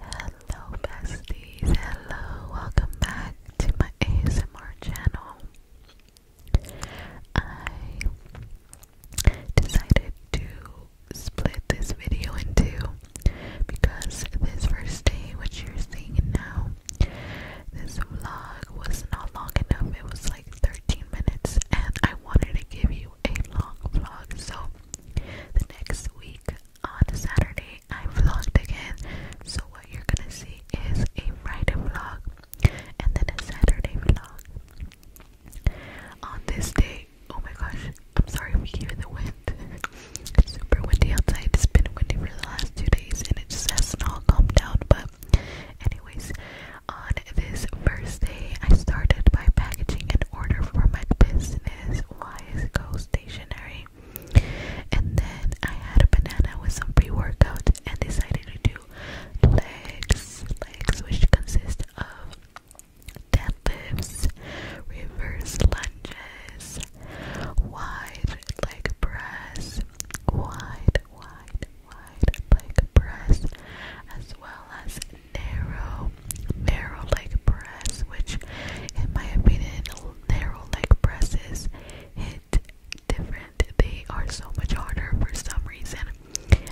Hello besties, hello, welcome back to my ASMR channel. I decided to split this video in two because this first day, which you're seeing now, this vlog was not long enough. It was like like 13 minutes and I wanted to give you a long vlog. So the next week on Saturday I vlogged again. So what you're gonna see is a Friday vlog and then a Saturday vlog. On this day, oh my gosh, I'm sorry if you hear the wind. super windy outside. It's been windy for the last two days and it just has not calmed down. But anyways, on this first day, I started by packaging an order for my business, Wise Go Stationery. And then I had a banana with some pre workout and decided to do legs, legs, which consist of deadlifts, reverse lunges, wide leg press, wide wide, wide leg press, as well as narrow, narrow leg press, which, in my opinion, narrow leg presses hit different. They are so much harder for some reason,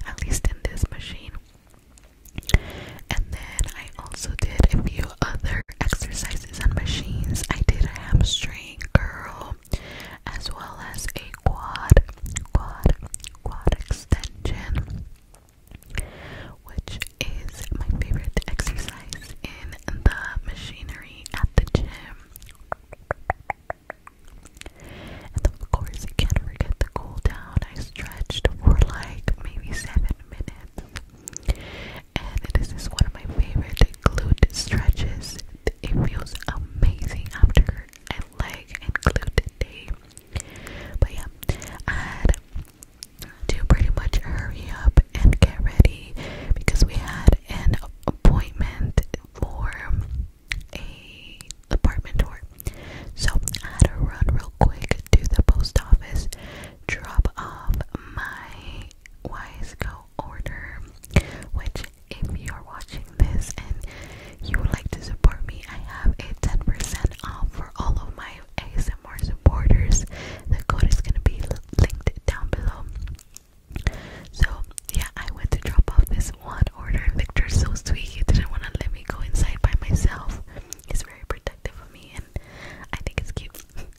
at least in this machine. And then I also did a few other exercises on machines. I did a hamstring curl as well as a quad, quad, quad extension, which is my favorite exercise in the machinery at the gym. And of course, you can't forget the cool down. I stretched for like maybe seven minutes. And this is one of my favorite glute stretches. It feels amazing after and leg and glute day. But yeah, I had to pretty much hurry up and get ready because we had an appointment for a apartment tour. So I had to run real quick to the post office, drop off my Wiseco order, which if you're watching this and you would like to support me, I have a 10% off for all of my ASMR supporters. The code is gonna be linked down below. So yeah, I went to drop off this one order. Victor's so sweet; he didn't want to let me go inside by myself. He's very protective of me, and I think it's cute.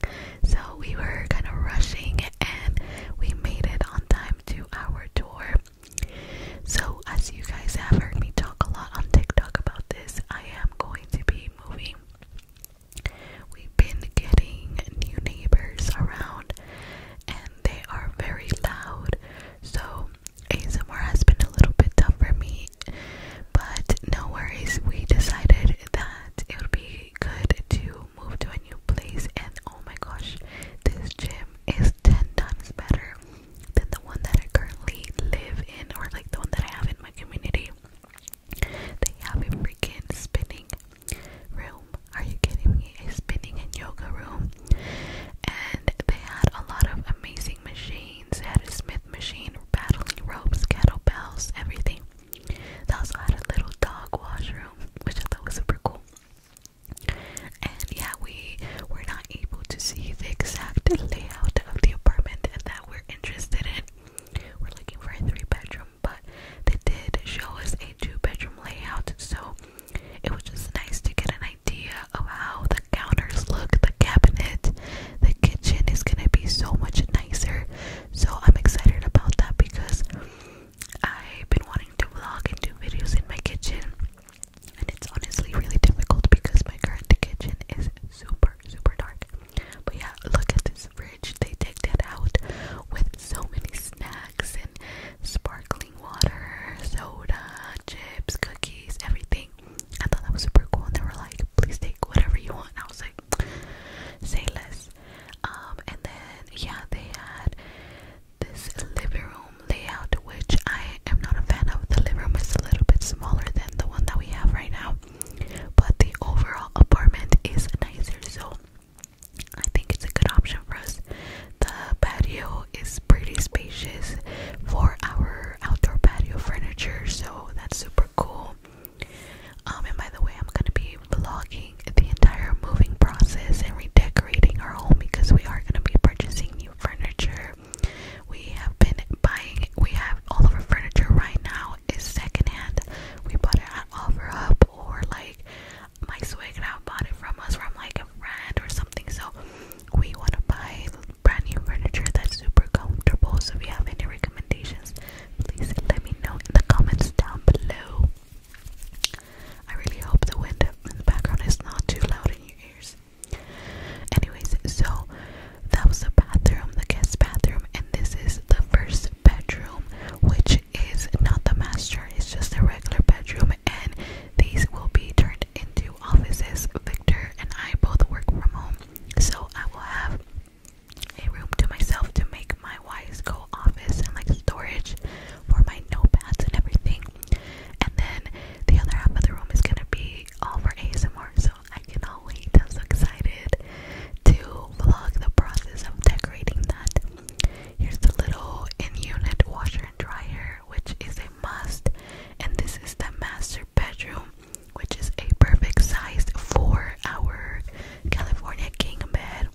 so we were kind of rushing, and we made it on time to our tour. So, as you guys have heard me talk a lot on TikTok about this, I am going to be moving. We've been getting new neighbors around and they are very loud. So, ASMR has been a little bit tough for me, but no worries. We decided that it would be good to move to a new place. And oh my gosh, this gym um, is 10 times better than the one that I currently live in or like the one that I have in my community. They have a freaking spinning room. Are you kidding me? A spinning and yoga room. And they had a lot of amazing machines. They had a smith machine, battling kettlebells, everything. They also had a little dog washroom, which I thought was super cool. And yeah, we were not able to see the exact layout of the apartment that we're interested in. We're looking for a three bedroom, but they did show us a two bedroom layout, so it was just nice to get an idea of how the counters look, the cabinet, the kitchen is gonna be so much nicer. So I'm excited about that because I've been wanting to vlog and do videos in my kitchen, and it's honestly really difficult because my current kitchen is super, super dark. But yeah, look at this fridge. They decked it out with so many snacks and sparkling water, soda, chips, cookies, everything. I thought that was super cool, and they were like, "Please take whatever you want." I was like, "Say less." Um, and then yeah, they had this living room layout, which I am not a fan of. The living room is a little bit smaller than the one that we have right now, but the overall apartment is nicer, so I think it's a good option for us. The patio is pretty spacious for our outdoor patio furniture, so that's super cool. Um, and by the way, I'm gonna be vlogging the entire moving process and redecorating our home because we are going to be purchasing new furniture. We have been buying, we have all of our furniture right now is secondhand. We bought it on OfferUp or like my swag bought it from us from like a friend or something. So we want to buy brand new furniture that's super comfortable. So if you have any recommendations, please let me know in the comments down below. I really hope the wind in the background is not too loud in your ears. Anyways, so that was the bathroom, the guest bathroom, and this is the first bedroom, which is not the master, it's just a regular bedroom, and these will be turned into offices. Victor and I both work from home, so I will have a room to myself to make my wise go office and like storage for my notepads and everything. And then the other half of the room is gonna be all for ASMR, so I can cannot wait. I'm so excited to vlog the process of decorating that. Here's the little in-unit washer and dryer, which is a must. And this is the master bedroom, which is a perfect size for our California king bed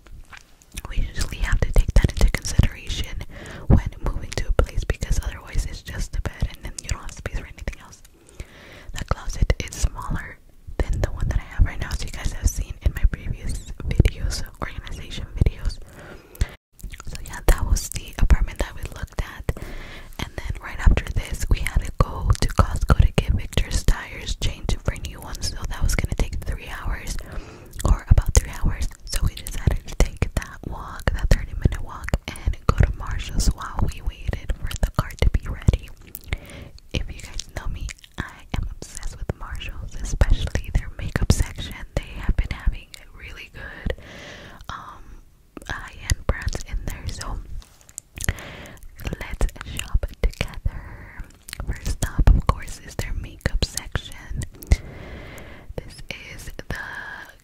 we usually have to take that into consideration when moving to a place because otherwise it's just a bed and then you don't have to space for anything else. The closet is smaller than the one that I have right now, so you guys have seen in my previous videos, organization videos. So yeah, that was the apartment that we looked at. And then right after this, we had to go to Costco to get Victor's tires changed for new ones. So that was gonna take three hours or about three hours. So we decided to take that walk, that 30 minute walk, and go to Marshall's while we waited for the car to be ready. If you guys know me, I am obsessed with Marshalls, especially their makeup section. They have been having really good um, high end brands in there. So let's shop together. First up, of course, is their makeup section. This is the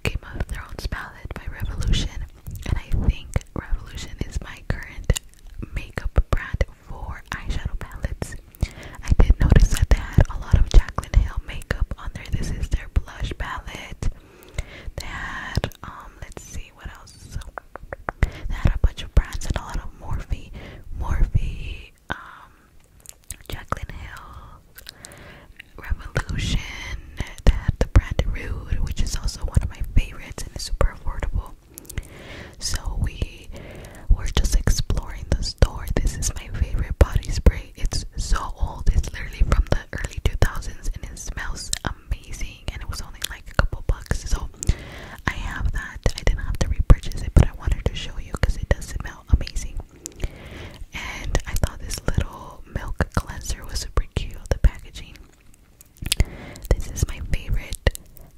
Game of Thrones palette by Revolution, and I think Revolution is my current makeup brand for eyeshadow palettes. I did notice that they had a lot of Jacqueline Hill makeup on there. This is their blush palette. They had, um, let's see what else. They had a bunch of brands and a lot of Morphe, Morphe um, Jaclyn Hill, Revolution, they the brand Rude, which is also one of my favorites and is super affordable. So we were just exploring the store. This is my favorite body spray. It's so old. It's literally from the early 2000s and it smells amazing and it was only like a couple bucks. So I have that. I didn't have to repurchase it, but I wanted to show you because it does smell amazing. And I thought this little milk cleanser was super cute. The packaging. This is my favorite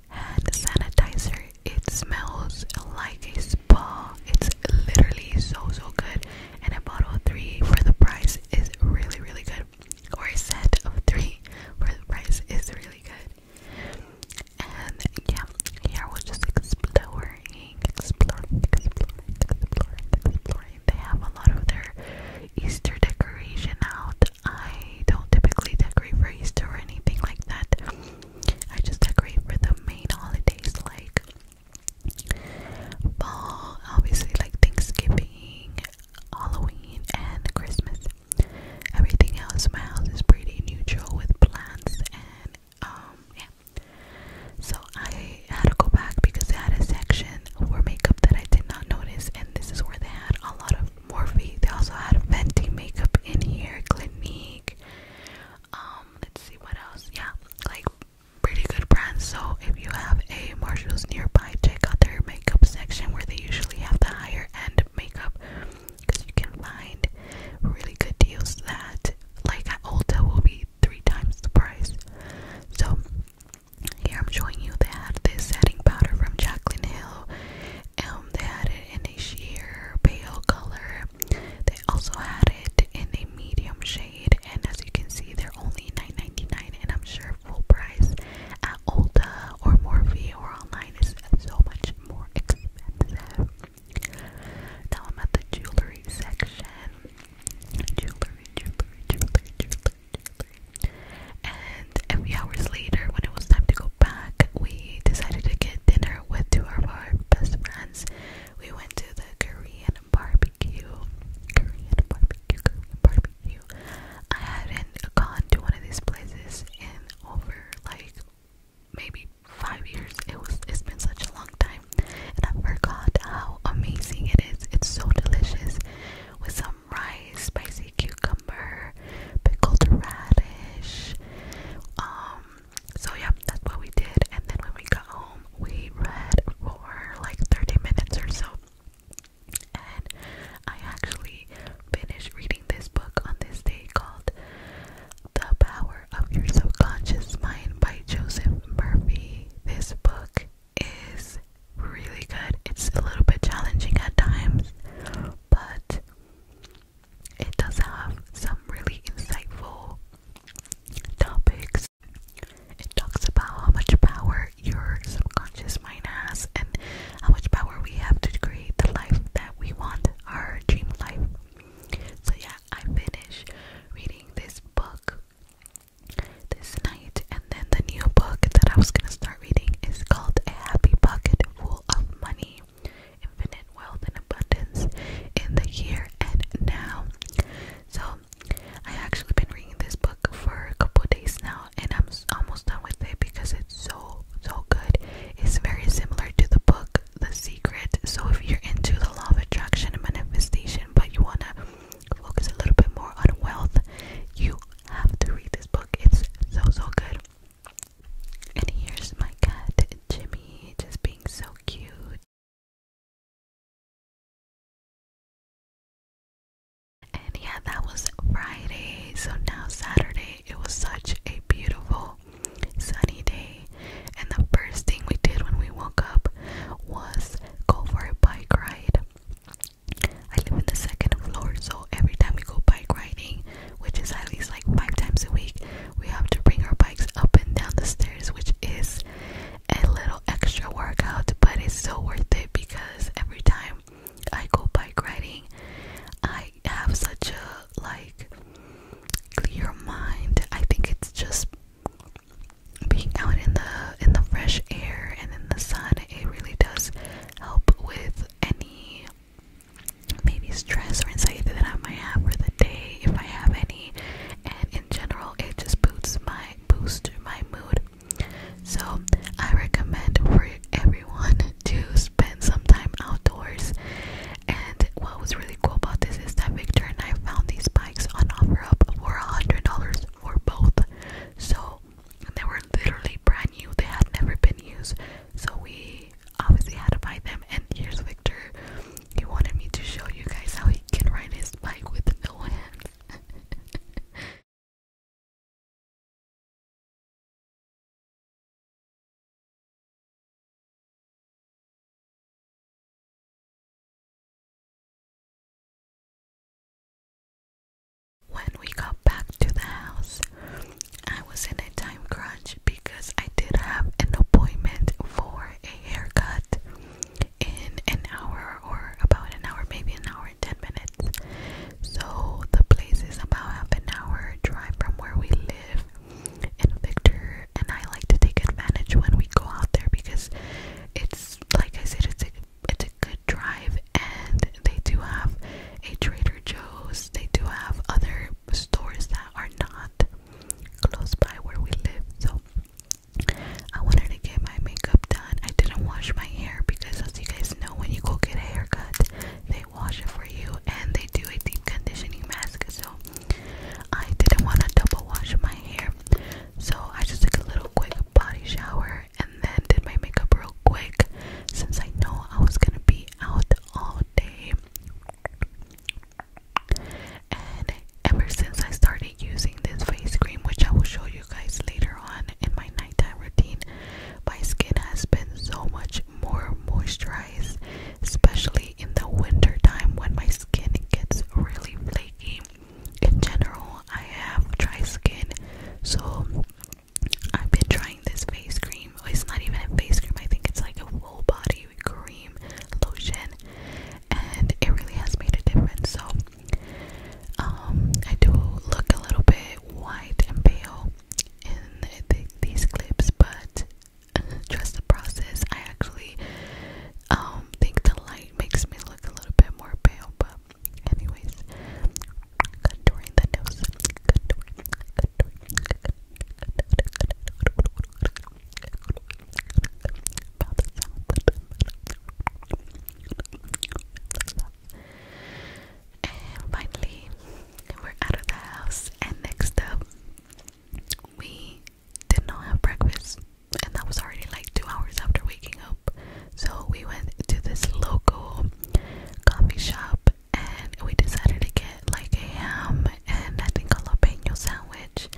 hand sanitizer. It smells like a spa. It's literally so so good. And a bottle of three for the price is really really good. Or a set of three for the price is really good. And yeah, yeah, we're just exploring, exploring, exploring, exploring, They have a lot of their Easter decoration out. I don't typically decorate for Easter or anything like that. I just decorate for the main holidays like fall, obviously like Thanksgiving, Halloween, and Christmas. Everything else in my house is pretty neutral with plants and um So I had to go back because they had a section for makeup that I did not notice and this is where they had a lot of Morphe. They also had Fenty makeup in here, Clinique. Um, let's see what else. Yeah, like pretty good brands. So if you have a Marshalls nearby, check out their makeup section where they usually have the higher end makeup because you can find really good deals that, like at Ulta, will be three times the price. So, here I'm showing you they had this setting powder from Jaclyn Hill. Um, they had it in a sheer pale color. They also had it in a medium shade, and as you can see, they're only $9.99, and I'm sure full price at Ulta or Morphe or online is so much more expensive. Now I'm at the jewelry section. Jewelry, jewelry, jewelry, jewelry, And a few hours later, when it was time to go back, we decided to get dinner with two of our best friends. We went to the Korean barbecue. Korean barbecue, Korean barbecue. I hadn't gone to one of these places in over like maybe five years. It was it's been such a long time and I forgot how amazing it is. It's so delicious with some rice, spicy cucumber, pickled radish. Um so yeah, that's what we did and then when we got home we read for like 30 minutes or so. And I actually finished reading this book on this day called The Power of Your Subconscious Mind by Joseph Murphy. This book is really good. It's a little bit challenging at times, but it does have some really insightful topics. It talks about how much power your subconscious mind has and how much power we have to create the life that we want our dream life. So yeah, I finished reading this book this night, and then the new book that I was gonna start reading is called A Happy Pocket Full of Money, Infinite Wealth and Abundance in the Here and Now. So I actually been reading this book for a couple days now, and I'm almost done with it because it's so so good. It's very similar to the book The Secret. So if you're into the law of attraction and manifestation, but you wanna focus a little bit more on wealth, you have to read this book. It's so so good. And here's my cat Jimmy just being so cute. And yeah, that was Friday. So now Saturday, it was such a beautiful sunny day, and the first thing we did when we woke up was go for a bike ride. I live in the second floor, so every time we go bike riding, which is at least like five times a week, we have to bring our bikes up and down the stairs, which is a little extra workout, but it's so worth it because every time I go bike riding, I have such a like clear mind. I think it's just being out in the in the fresh air and in the sun. It really does help with any maybe stress or anxiety that I might have for the day if I have any. And in general, it just boosts my boosts my mood. So I recommend for everyone to spend some time outdoors. And what was really cool about this is that Victor and I found these bikes on OfferUp for $100 for both. So they were literally brand new, they had never been used. So we obviously had to buy them. And here's Victor. He wanted me to show you guys how he can ride his bike with no hands. When we got back to the house, I was in a time crunch because I did have an appointment for a haircut in an hour or about an hour, maybe an hour and 10 minutes. So the place is about half an hour drive from where we live and Victor, and I like to take advantage when we go out there because it's like I said, it's a it's a good drive, and they do have a Trader Joe's. They do have other stores that are not close by where we live. So I wanted to get my makeup done. I didn't wash my hair because, as you guys know, when you go get a haircut, they wash it for you and they do a deep conditioning mask. So I didn't want to double wash my hair, so I just took a little quick body shower and then did my makeup real quick since I know I was gonna be out all day. And ever since I started using this face cream, which I will show you guys later on in my nighttime routine, my skin has been so much more moisturized, especially in the winter time when my skin gets really flaky. In general, I have dry skin, so I've been trying this face cream. It's not even a face cream, I think it's like a full body cream lotion, and it really has made a difference. So, um, I do look a little bit white and pale in th these clips, but trust the process. I actually think the light makes me look a little bit more pale, but anyways, contouring the nose, and finally, we're out of the house. And next up, we did not have breakfast. And that was already like two hours after waking up. So we went to this local coffee shop and we decided to get like a ham and I think a jalapeno sandwich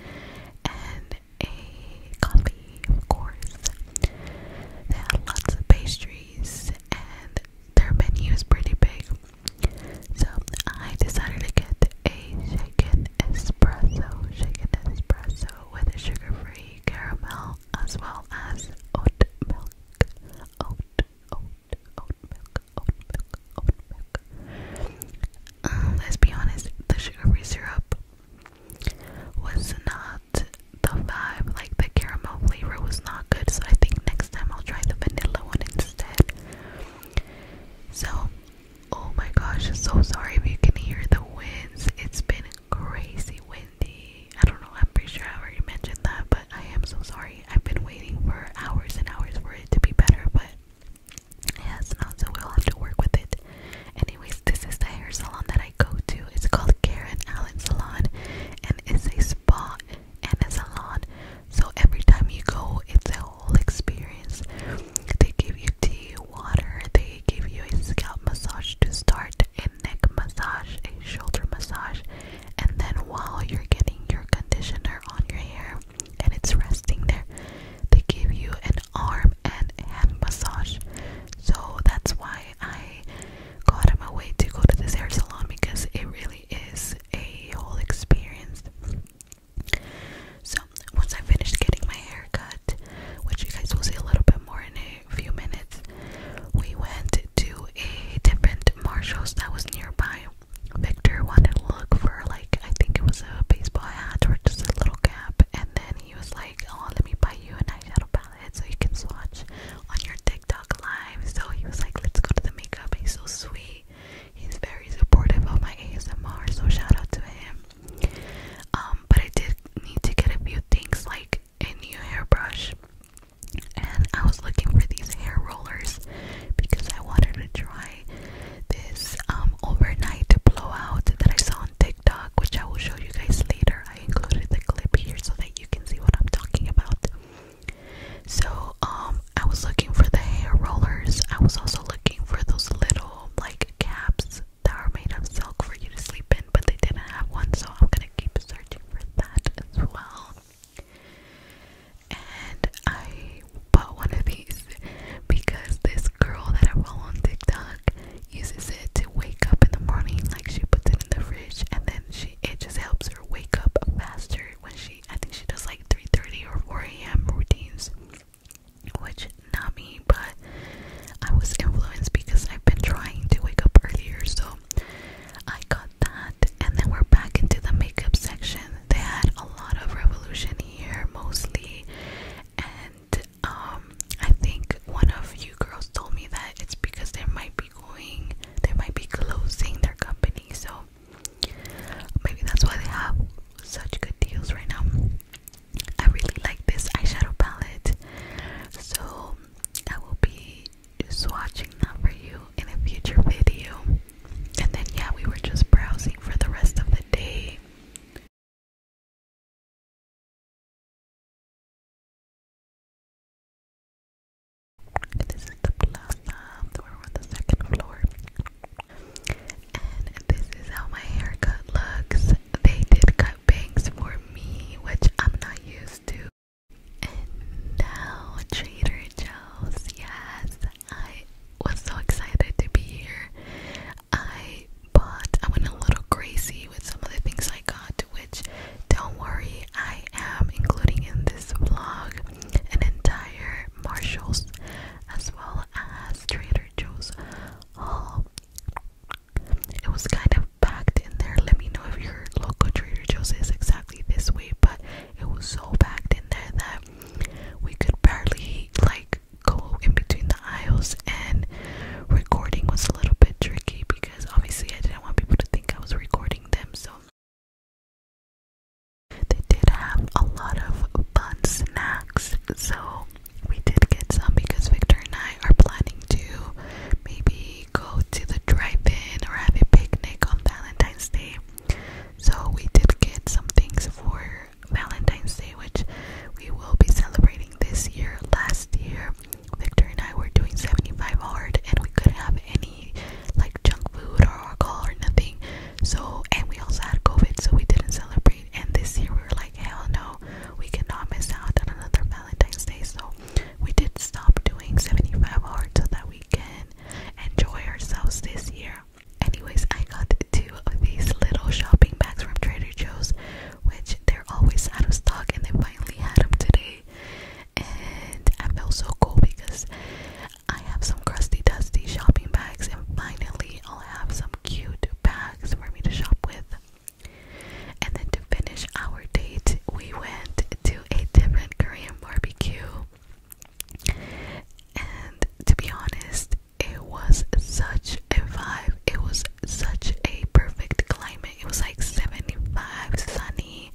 and a coffee, of course. They had lots of pastries and their menu is pretty big. So I decided to get a shaken espresso, shaken espresso with a sugar-free caramel as well as oat milk, oat, oat, oat milk, oat milk, oat milk. Um, let's be honest, the sugar-free syrup was not the vibe like the caramel flavor, was not good. So I think next time I'll try the vanilla one instead. So, oh my gosh, so sorry if you can hear the winds. It's been crazy windy. I don't know, I'm pretty sure I already mentioned that, but I am so sorry. I've been waiting for hours and hours for it to be better, but it has not, so we'll have to work with it. Anyways, this is the hair salon that I go to. It's called Karen Allen Salon and it's a spa and a salon. So every time you go, it's a whole experience. They give you tea, water, they give you a scalp massage to start, a neck massage, a shoulder massage, and then while you're getting your conditioner on your hair and it's resting there, they give you an arm and hand massage. So that's why I got on my way to go to this hair salon because it really is a whole experience. So, once I finished getting my hair cut, which you guys will see a little bit more in a few minutes, we went to a different Marshall's that was nearby. Victor wanted to look for, like, I think it was a baseball hat or just a little cap, and then he was like, Oh, let me buy you a eyeshadow palette so you can swatch on your TikTok. TikTok live, so he was like, "Let's go to the makeup." He's so sweet. He's very supportive of my ASMR, so shout out to him. Um, but I did need to get a few things like a new hairbrush, and I was looking for these hair rollers because I wanted to try this um overnight blowout that I saw on TikTok, which I will show you guys later. I included the clip here so that you can see what I'm talking about. So, um, I was looking for the hair rollers. I was also looking for those little like caps that are made of silk for you to sleep in, but they didn't have one, so I'm gonna keep searching for that as well. And I bought one of these because this girl that I follow on TikTok uses it to wake up in the morning. Like she puts it in the fridge, and then she it just helps wake up faster when she I think she does like 3:30 or 4 a.m. routines which not me but I was influenced because I've been trying to wake up earlier so I got that and then we're back into the makeup section they had a lot of revolution here mostly and um I think one of you girls told me that it's because there might be they might be closing their company. So maybe that's why they have such good deals right now. I really like this eyeshadow palette. So I will be swatching that for you in a future video. And then, yeah, we were just browsing for the rest of the day. This is the plaza, so we the second floor. And this is how my haircut looks. They did cut bangs for me, which I'm not used to. And now, Trader Joe's, yes, I was so excited to be here. I bought, I went a little crazy with some of the things I got, which don't worry, I am including in this vlog an entire Marshalls as well as Trader Joe's haul. It was kind of packed in there. Let me know if your local Trader Joe's is exactly this way, but it was so packed in there that we could barely like go in between the aisles and recording was a little bit tricky because obviously I didn't want people to think I was recording them so they did have a lot of fun snacks, so we did get some because Victor and I are planning to maybe go to the drive-in or have a picnic on Valentine's Day. So we did get some things for Valentine's Day, which we will be celebrating this year. Last year, Victor and I were doing 75 hard and we couldn't have any like junk food or alcohol or nothing. So, and we also had COVID, so we didn't celebrate. And this year we were like, hell no, we cannot miss out on another Valentine's Day. So, we did stop doing 75 hard so that we can enjoy ourselves this year. Anyways, I got two of these little shopping bags from Trader Joe's, which they're always out of stock, and they finally had them today and I felt so cool because I have some crusty dusty shopping bags and finally I'll have some cute bags for me to shop with. And then to finish our date, we went to a different Korean barbecue. And to be honest, it was such a vibe. It was such a perfect climate. It was like 75, sunny,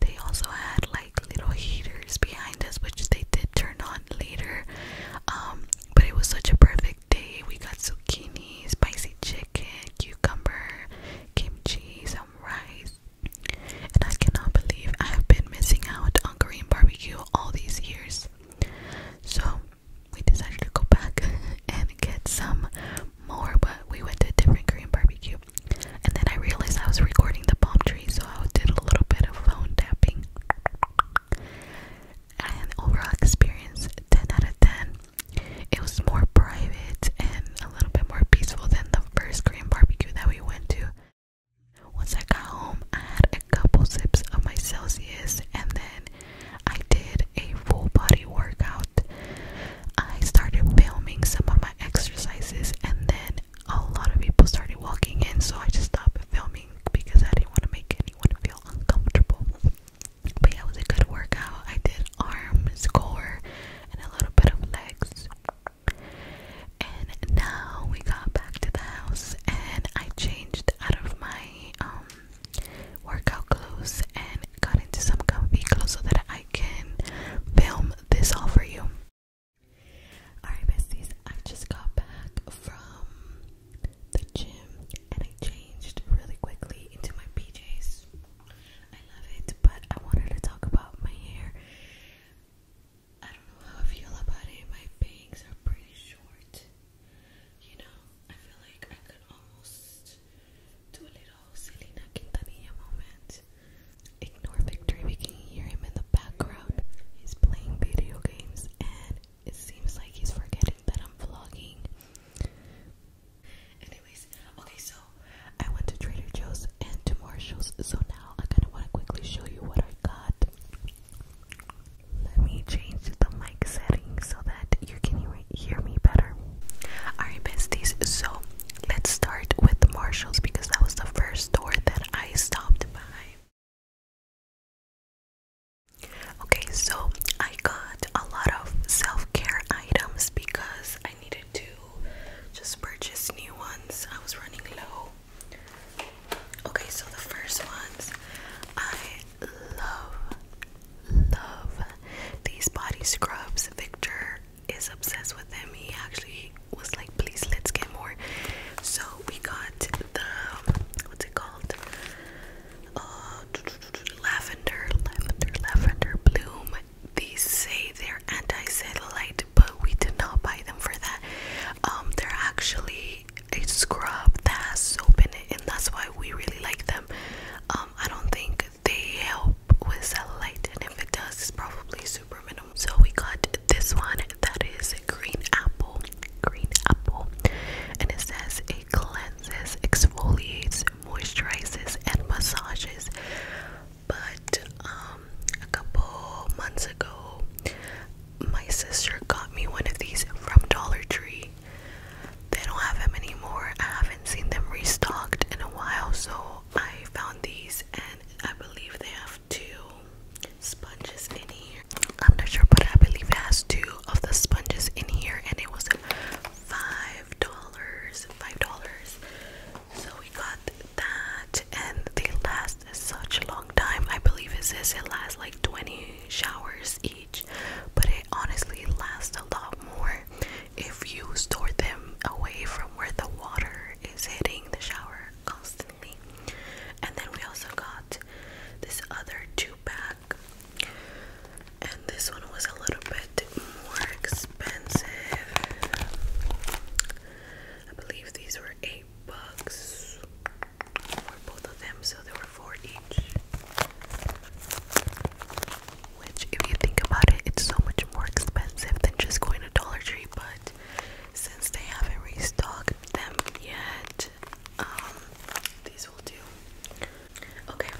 they also had like little heaters behind us, which they did turn on later. Um, but it was such a perfect day. We got zucchini, spicy chicken, cucumber, kimchi, some rice. And I cannot believe I have been missing out on Korean barbecue all these years. So we decided to go back and get some more, but we went to a different Korean barbecue. And then I realized I was recording the palm tree, so I did a little bit of phone tapping. And overall experience 10 out of 10. It was more private and a little bit more peaceful than the first Korean barbecue that we went to. Once I got home, I had a couple sips of my Celsius and then I did a full body workout. I started filming some of my exercises, and then a lot of people started walking in, so I just stopped filming because I didn't want to make anyone feel uncomfortable. But yeah, it was a good workout. I did arms, core, and a little bit of legs. And now we got back to the house, and I changed out of my um, workout clothes and haven't got into some kind of so that I can film this all for you. Alright, besties, I just got back from the gym and I changed really quickly into my PJs. I love it, but I wanted to talk about my hair. I don't know how I feel about it. My bangs are pretty short. You know, I feel like I could almost moment, little Selena Quintanilla moment. Ignore Victory, we can hear him in the background. He's playing video games and it seems like he's forgetting that I'm vlogging. Anyways, okay, so I went to Trader Joe's and to Marshall's, so now I kind of want to quickly show you what I got. Let me change the mic setting so that you can hear hear me better. Alright, besties, so let's start with Marshalls because that was the first store that I stopped by. Okay, so I got a lot of self care items because I needed to just purchase new ones. I was running low. Okay, so the first ones I love, love these body scrubs, Victor is obsessed with them. He actually was like, please, let's get more. So we got the what's it called? Uh, lavender, lavender, lavender bloom. These say they're anti-satellite, but we did not buy them for that. Um, they're actually a scrub that has soap in it, and that's why we really like them. Um, I don't think they help with cellulite, and if it does, it's probably super minimal. So we got this one that is green apple, green apple, and it says it cleanses, exfoliates, moisturizes, and massages. But um, a couple months ago, my sister got me one of these from Dollar Tree. They don't have them anymore. I haven't seen them restocked in a while, so I found these and I believe they have two sponges in here. I'm not sure, but I believe it has two of the sponges in here and it was five dollars. Five dollars. So we got that and they last such a long time. I believe it says it lasts like 20 showers each, but it honestly lasts a lot more if you store them away from where the water is hitting the shower constantly. And then we also got this other two pack, and this one was a little bit more expensive. I believe these were eight bucks for both of them, so they were four each. Which, if you think about it, it's so much more expensive than just going to Dollar Tree. But since they haven't restocked them yet, um, these will do. Okay.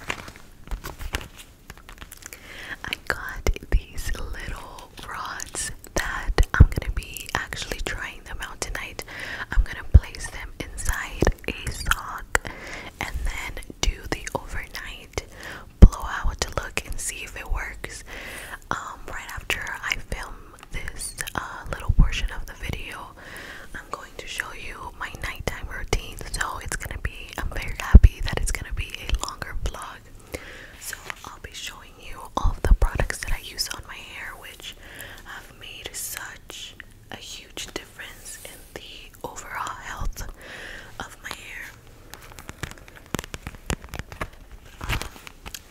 I got these little rods that I'm gonna be actually trying them out tonight. I'm gonna place them inside a sock and then do the overnight light blowout look and see if it works. Um, right after I film this uh, little portion of the video, I'm going to show you my nighttime routine. So it's gonna be, I'm very happy that it's gonna be a longer vlog. So I'll be showing you all of the products that I use on my hair, which have made such a huge difference difference in the overall health of my hair. Um,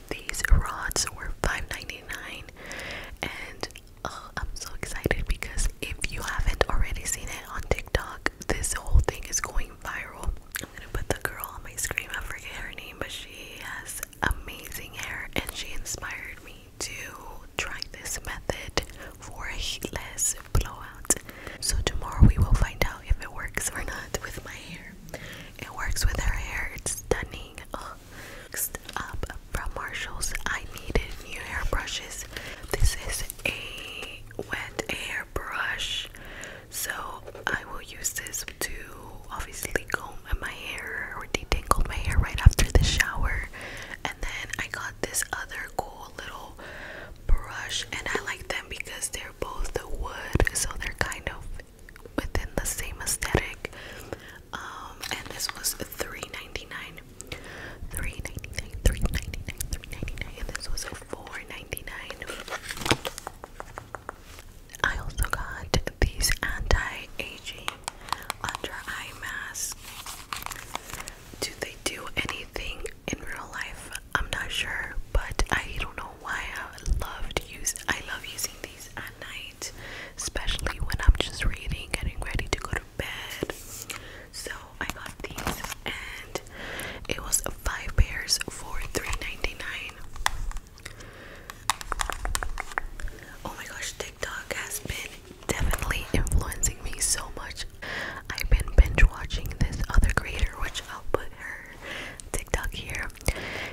these rods were $5.99 and uh, I'm so excited because if you haven't already seen it on TikTok, this whole thing is going viral. I'm gonna put the girl on my screen, I forget her name, but she has amazing hair and she inspired me to try this method for a heatless blowout. So tomorrow we will find out if it works or not with my hair. It works with her hair. It's stunning. Oh. Next up from Marshalls, I needed new hairbrushes. This is a wet airbrush, so I will use this to obviously comb my hair or detangle my hair right after the shower. And then I got this other cool little brush and I like them because they're both wood so they're kind of within the same aesthetic um, and this was three ninety nine, three ninety nine, three ninety nine, three ninety nine. dollars and this was 4 I also got these anti-aging under eye masks do they do anything in real life? I'm not sure, but I don't know why I love to use I love using these at night, especially when I'm just reading, getting ready to go to bed. So I got these and it was five pairs for 3 Oh my gosh, TikTok has been definitely influencing me so much. I've been binge watching this other creator, which I'll put her TikTok here.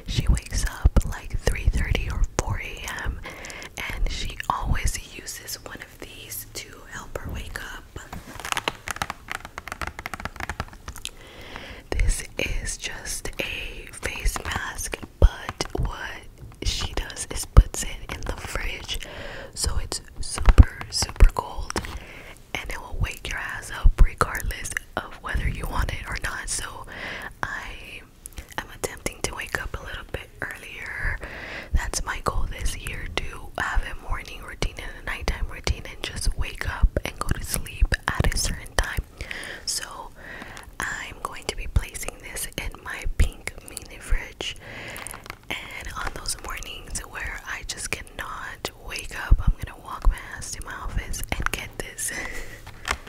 She wakes up like 3:30 or 4 a.m. and she always uses one of these to help her wake up. This is just a face mask, but what she does is puts it in the fridge so it's super, super cold and it will wake your ass up regardless of whether you want it or not. So I am attempting to wake up a little bit earlier. That's my goal this year to have a morning routine and a nighttime routine and just wake up and go to sleep at a certain time. So I'm going to be placing this in my pink mini fridge and on those mornings where I just cannot wake up, I'm gonna walk my ass to my office and get this.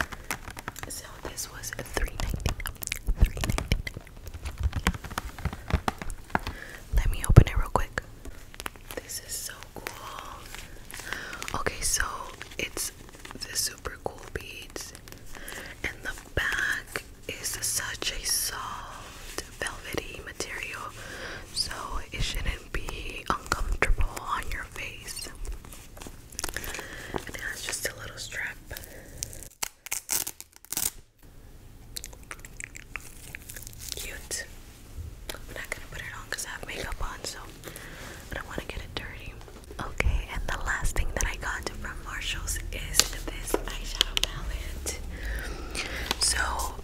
so this was a three ninety nine. Three ninety nine. Let me open it real quick. This is so cool. Okay, so it's the super cool beads and the back is such a soft, velvety material, so it shouldn't be uncomfortable on your face. it has just a little strap. Cute. I'm not gonna put it on I have makeup on, so I don't want to get it dirty. Okay, and the last thing that I got from Marshalls is this eyeshadow palette. So,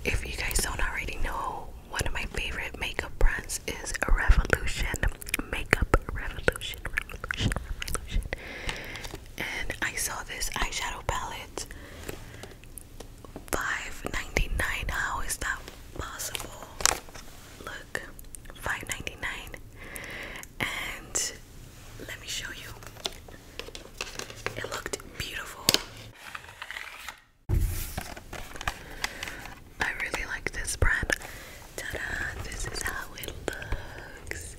if you guys don't already know, one of my favorite makeup brands is Revolution. Makeup Revolution, Revolution, Revolution. And I saw this eyeshadow palette. five ninety is that possible? Look, five ninety nine. And let me show you. It looked beautiful. I really like this brand. Ta-da! This is how it looks.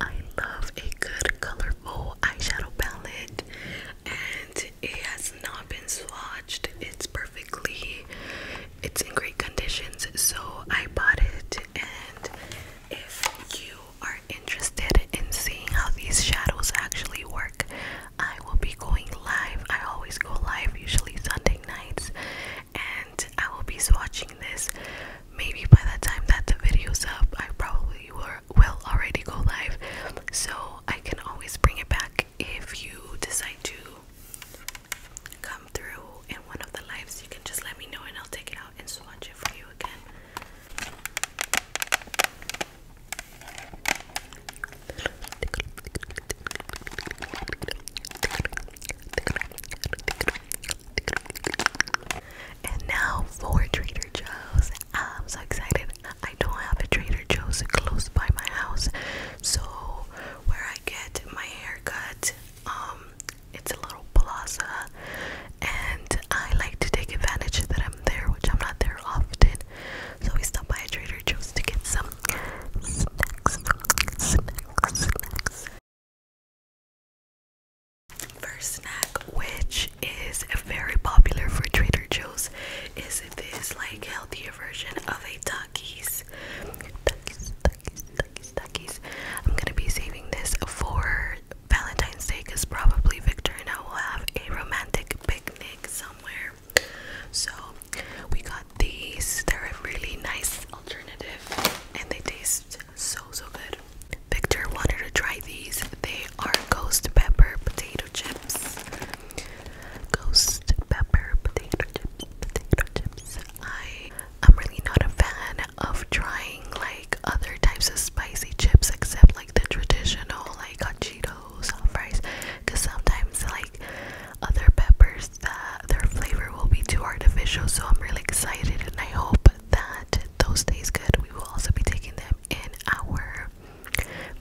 I love a good colorful eyeshadow palette and it has not been swatched. It's perfectly it's in great conditions so I bought it and if you are interested in seeing how these shadows actually work, I will be going live. I always go live, usually Sunday nights, and I will be swatching this. Maybe by the time that the video's up, I probably will already go live, so I can always bring it back if you decide to come through in one of the lives. You can just let me know and I'll take it out and swatch it for you again. And now for Trader Joe's. I'm so excited. I don't have a Trader Joe's close by my house, so where I get my haircut, um, it's a little plaza and I like to take advantage that I'm there which I'm not there often so we stopped by Trader Joe's to get some snacks First snack, which is very popular for Trader Joe's, is this like healthier version of a Takis duckies, I'm gonna be saving this for Valentine's Day because probably Victor and I will have a romantic picnic somewhere. So we got these. They're a really nice alternative and they taste so so good. Victor wanted to try these. They are ghost pepper potato chips. Ghost pepper potato chips. Potato chips. I I'm really not a fan of trying like other types of spicy chips except like the traditional like hot Cheetos on fries because sometimes like other peppers uh, their flavor will be too artificial so I'm really excited and I hope that those taste good. We will also be taking them in our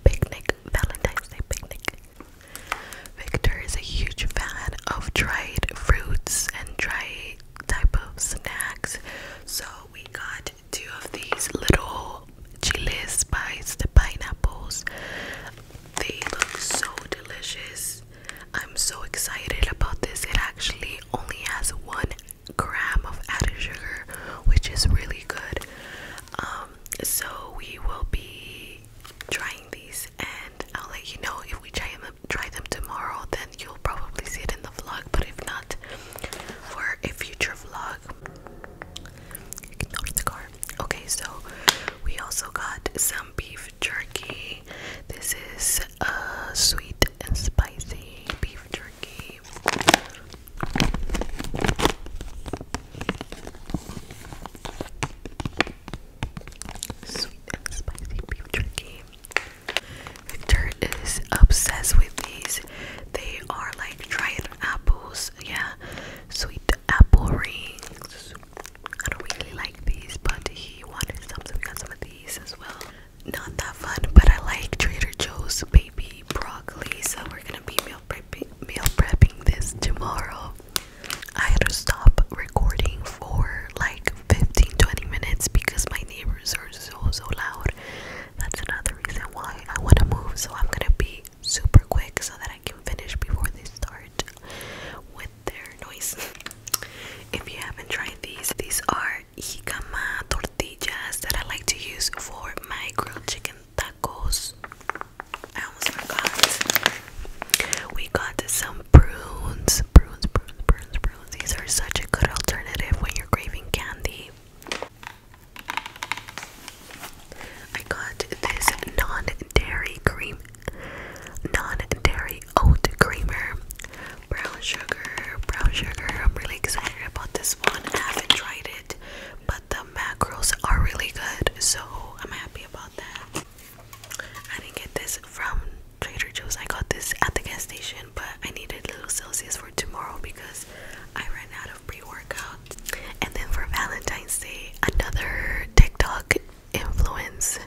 picnic Valentine's Day picnic. Victor is a huge fan of dried fruits and dried type of snacks. So we got two of these little chili spiced pineapples. They look so delicious. I'm so excited about this. It actually only has one gram of added sugar, which is really good. Um, so we will be trying these, and I'll let you know if we try them try them tomorrow then you'll probably see it in the vlog but if not for a future vlog okay so we also got some beef jerky this is uh sweet and spicy beef jerky Sweet and spicy beef jerky. Victor is obsessed with these. They are like dried apples, yeah, sweet apple rings. I don't really like these, but he wanted some, so we got some of these as well. Not that fun, but I like Trader Joe's baby broccoli, so we're gonna be meal prepping, prepping this tomorrow. I had to stop recording for like 15 20 minutes because my neighbors are so so loud. That's another reason why I want to move. So I'm gonna be super quick so that I can finish before they start with their noise. If you haven't tried these, these are jicama tortillas that I like to use for my grilled chicken tacos. I almost forgot. We got some prunes, prunes, prunes, prunes, prunes, These are such a good alternative when you're craving candy. I got this non-dairy cream, non-dairy oat creamer, brown sugar, brown sugar. I'm really excited about this one. I haven't tried it, but the macros are really good, so I'm happy about that. I didn't get this from Trader Joe's. I got this at the gas station, but I needed little Celsius for tomorrow because I ran out of pre-workout. And then for Valentine's Day, another TikTok influence.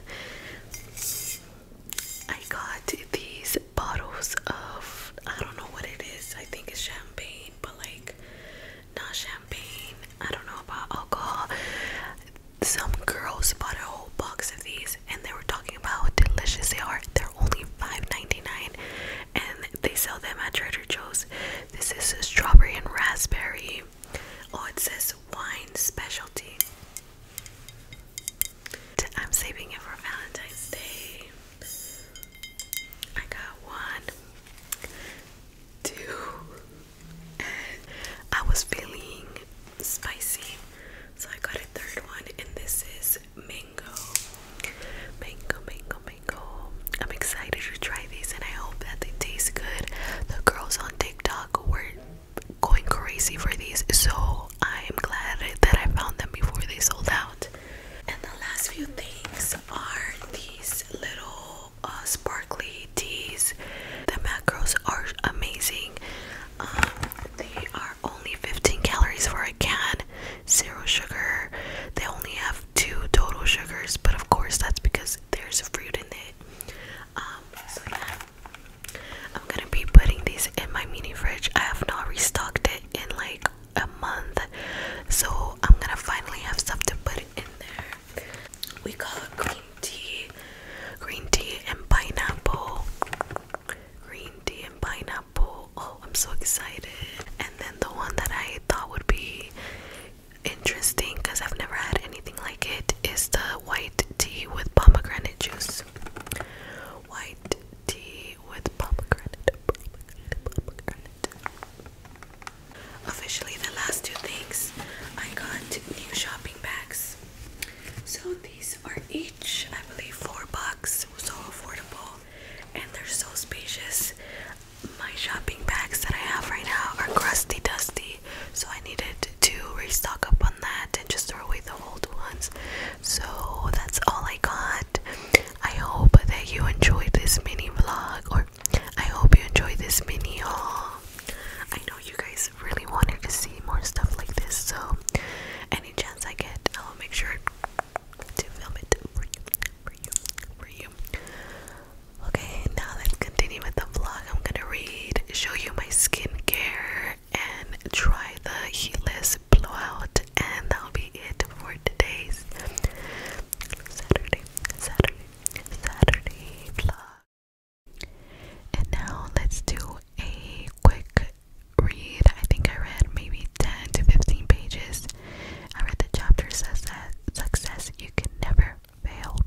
I got these bottles of I don't know what it is. I think it's champagne, but like not champagne. I don't know about alcohol some girls bought a whole box of these and they were talking about how delicious they are. They're only $5.99 and they sell them at Trader Joe's. This is strawberry and raspberry. Oh, it says wine specialty. I'm saving it for Valentine's Day. I got one, two, I was feeling spicy, so I got a third one, and this is mango. Mango, mango, mango. I'm excited to try these, and I hope that they taste good. The girls on TikTok were going crazy for these, so I am glad that I found them before they sold out. And the last few things are these little uh, sparkly teas. The macros are amazing. Um, they are only 15 calories for a can, zero sugar. They only have two total sugars, but of course that's because there's fruit in it. Um, so yeah, I'm gonna be putting these in my mini fridge. I have not restocked it in like a month, so I'm gonna finally have stuff to put in there. We got green tea, green tea and pineapple green tea and pineapple. Oh, I'm so excited. And then the one that I thought would be interesting because I've never had anything like it is the white tea with pomegranate juice. White tea with pomegranate. Officially, the last two things I got new shopping bags. So, the these are each, I believe, four bucks. It was So affordable, and they're so spacious. My shopping bags that I have right now are crusty, dusty, so I needed to restock up on that and just throw away the old ones. So that's all I got. I hope that you enjoyed this mini vlog, or I hope you enjoyed this mini haul. I know you guys always really wanted to see more stuff like this, so any chance I get, I'll make sure to film it for you, for you, for you. Okay, now let's continue with the vlog. I'm gonna read, show you my skincare, and try the heatless blowout, and that'll be it for today's Saturday, Saturday, Saturday vlog. And now let's do a quick read. I think I read maybe 10 to 15 pages. I read the chapter says that success You Can Never Fail.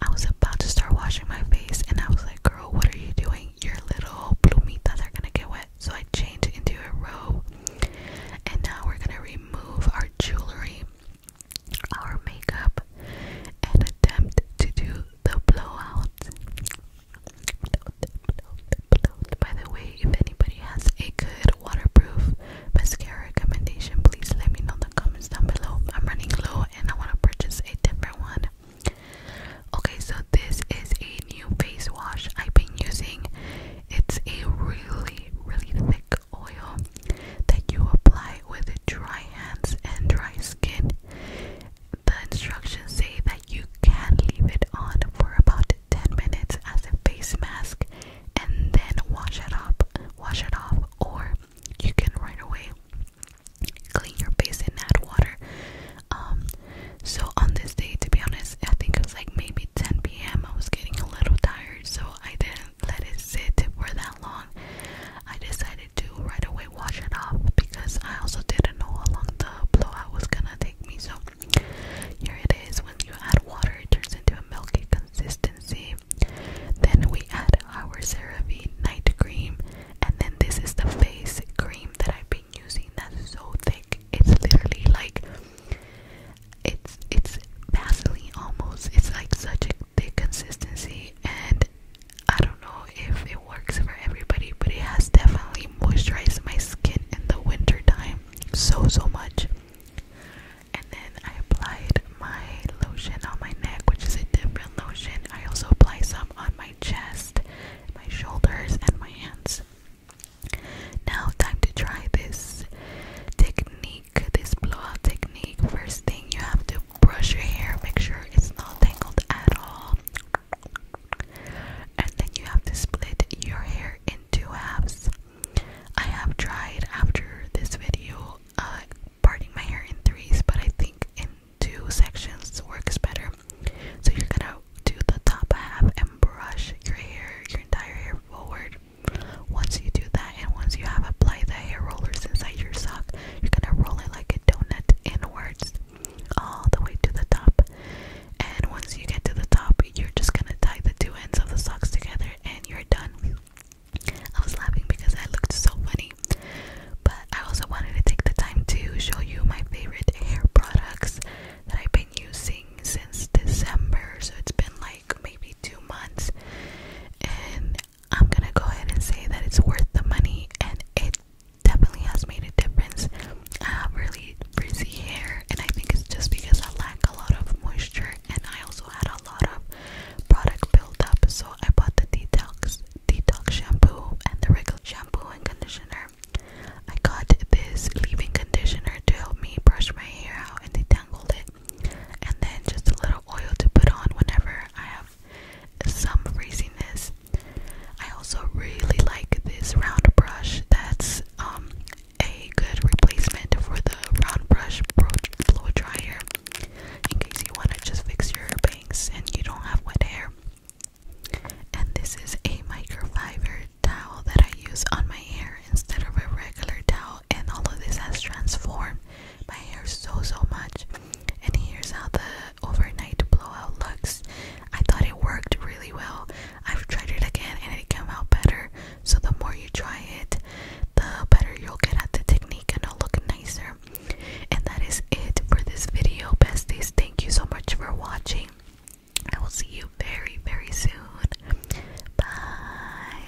I was about to start washing my face and I was like, girl, what are you doing? Your little blue plumitas are gonna get wet. So I changed into a robe. And now we're gonna remove our jewelry, our makeup, and attempt to do the blowout. By the way, if anybody has a good waterproof mascara recommendation, please let me know in the comments down below. I'm running low and I want to purchase a different one. Okay, so this is a new face wash I've been using. It's a really, really thick oil that you apply with dry hands and dry skin. The instructions say that you can leave it on for about 10 minutes as a face mask and then wash it off, wash it off or you can right away clean your face and add water. Um so on this day to be honest, I think it was like maybe 10 p.m. I was getting a little tired so I didn't let it sit for that long. I decided decided right away wash it off because I also didn't know how long the blowout was gonna take me. So here it is. When you add water, it turns into a milky consistency. Then we add our CeraVe night cream, and then this is the face cream that I've been using. That's so thick. It's literally like it's it's Vaseline almost. It's like such a thick consistency, and I don't know if it works for everybody, but it has definitely moisturized my skin in the winter time so so much. And then I applied my lotion on my neck, which is a different lotion. I also apply some on my chest, my shoulders, and my hands. Now, time to try this technique, this blowout technique. First thing you have to brush your hair, make sure it's not tangled at all. And then you have to split your hair in two halves. I have tried after this video uh, parting my hair in threes, but I think in two sections works better. So you're gonna do the top half and brush your hair, your entire hair forward. Once you do that, and once you have applied the hair rollers inside your sock, you're gonna roll it like a donut inwards all the way to the top. And once you get to the top, you're just gonna tie the two ends of the socks together and you're done. I was laughing because I looked so funny. But I also wanted to take the time to show you my favorite hair products that I've been using since December. So it's been like maybe two months. And I'm gonna go ahead and say that it's worth the money and it definitely has made a difference. I have really frizzy hair, and I think it's just because I lack a lot of moisture, and I also had a lot of product buildup. So I bought the detox detox shampoo and the regular shampoo and conditioner. I got this leave-in conditioner to help me brush my hair out and detangle it, and then just a little oil to put on whenever I have some frizziness. I also really like this round brush. That's um, a good replacement for the round brush blow dryer in case you want to just fix your bangs and you don't have wet hair. And this is a microfiber towel that I use on my hair instead of a regular towel and all of this has transformed my hair so so much and here's how the overnight blowout looks i thought it worked really well i've tried it again and it came out better so the more you try it the better you'll get at the technique and it'll look nicer and that is it for this video besties thank you so much for watching i will see you very very soon bye